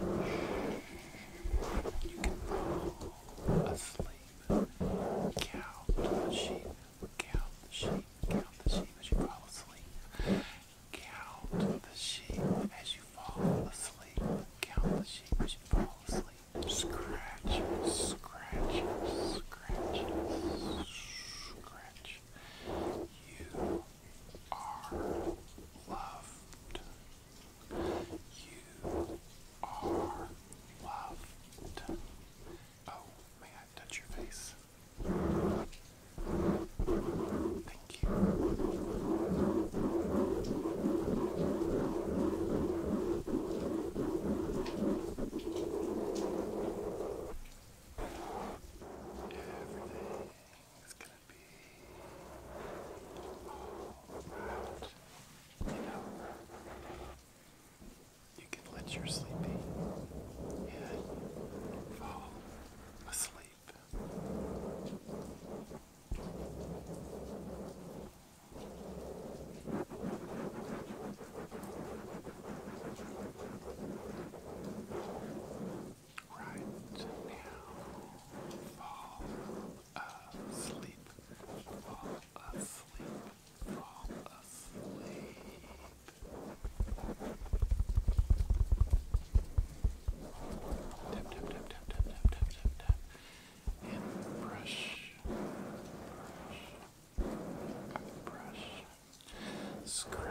You can roll a sleep, count the sheep, count the sheep, count the sheep as you fall asleep. Count the sheep as you fall asleep. Count the sheep as you fall asleep. Scratch, scratch, scratch, scratch. You are loved. You are loved. Oh, may I touch your face? Thank you. Everything's be You can let your sleepy head fall asleep right now. Fall asleep. Fall asleep. Fall asleep. Tap, tap, tap, tap, tap, tap, tap, tap, brush. Brush. Brush. Scratch.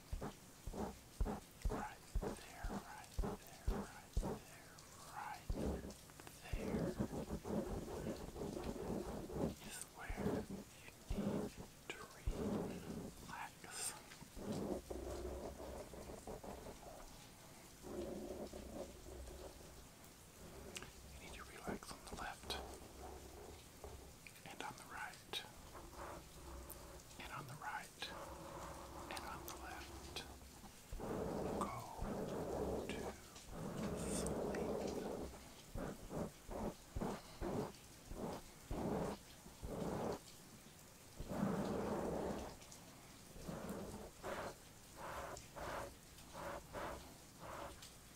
Right there, right there, right there, right there is where you need to relax. You need to relax on the left and on the right, and on the right, and on the left. Go to sleep.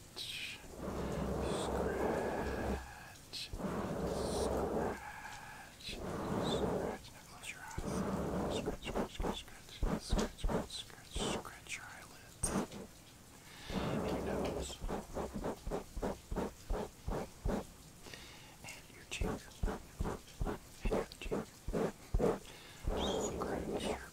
Scratch, scratch, scratch, scratch. Now close your eyes. Scratch, scratch, scratch, scratch, scratch, scratch, scratch, scratch your eyelids and your nose and your cheek and your other cheek. Scratch your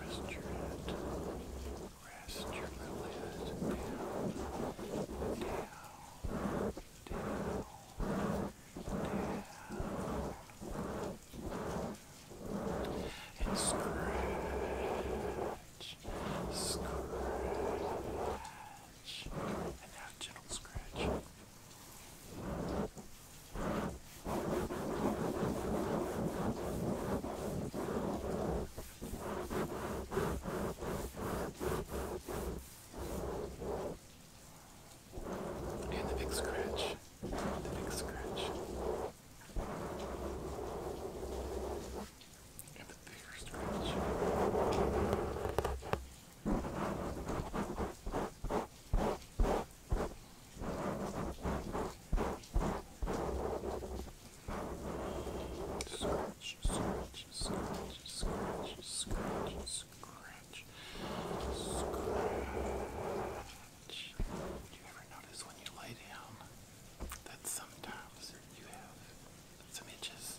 Rest your head. Rest your little head down. Down. Down. Down. And scratch. Scratch touch and have a gentle scratch. And the big scratch, the big scratch, and the bigger scratch. Scratch, scratch, scratch, scratch, scratch, scratch, scratch. Do you ever notice when you lay down that sometimes you have some itches?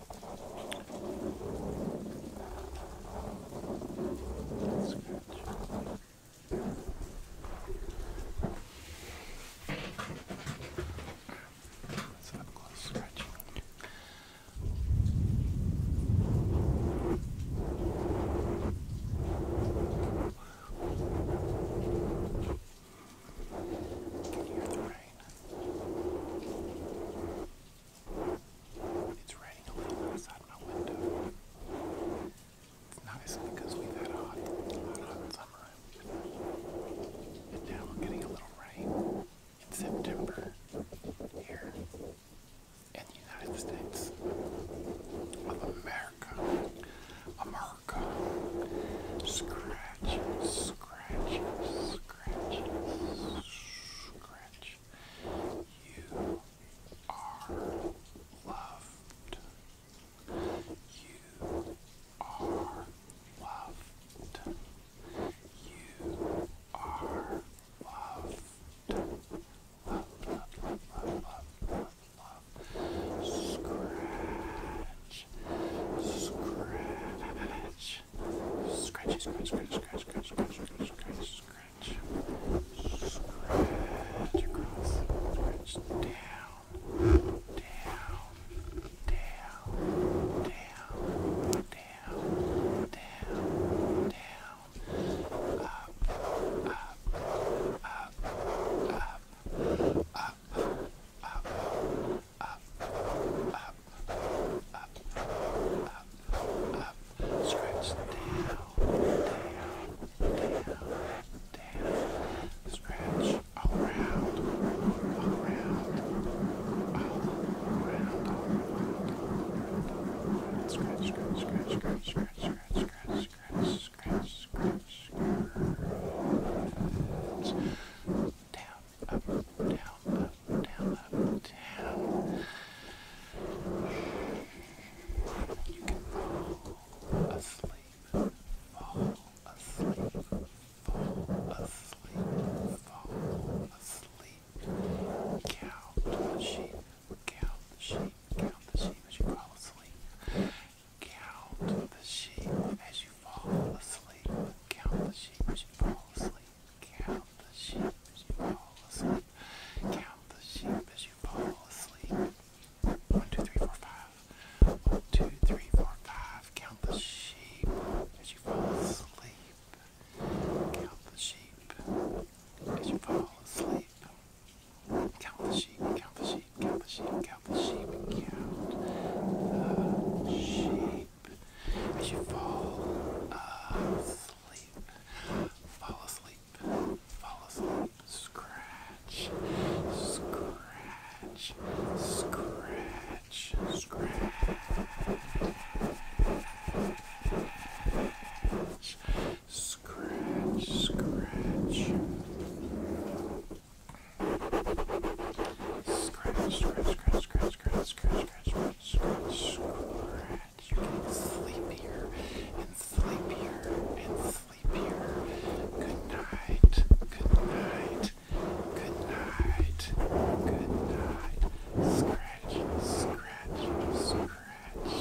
That's good. That's up close scratching. Good. You hear the rain. It's raining a little outside my window. It's nice because we've had a hot, hot, summer. And now we're getting a little rain in September here in the United States of America. America. Scratch scratch, scratch, scratch. You are loved. You are loved. You are loved. Love, love, love, love, love, love, love. Scratch, scratch, scratch, scratch, scratch, scratch, scratch, scratch, scratch, scratch, scratch, scratch, scratch across, scratch down, down, down, down, down, down, down, up, up, up, up, up, up, up, up, up, up, up, up. Scratch down, down, down, down. Scratch all around, all around, all around, all around. Scratch, scratch, scratch, scratch, scratch, scratch, scratch, scratch, scratch, scratch, scratch up, down, up, down, up, down, up, down. You can fall asleep, fall asleep, fall asleep, fall asleep. Count the sheep, count the sheep, count the sheep as you fall asleep. Count the sheep as you fall asleep. Count the sheep as you fall asleep. Count the sheep as you fall asleep. Count the sheep as you fall asleep. One, two, three, four, five. One, two, three, four, five. Count the sheep as you fall asleep. Count the sheep as you fall asleep. Count the sheep, count the sheep sheep, count the sheep, count the sheep, count the sheep. As you fall asleep, fall asleep, fall asleep, scratch, scratch, scratch, scratch, scratch, scratch. Scratch, scratch, scratch, scratch, scratch, scratch, scratch, scratch, scratch. You get sleepier and sleepier and sleepier. Good night. Good night. Good night. Good night. Scratch, scratch, scratch.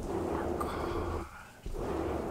You are gone.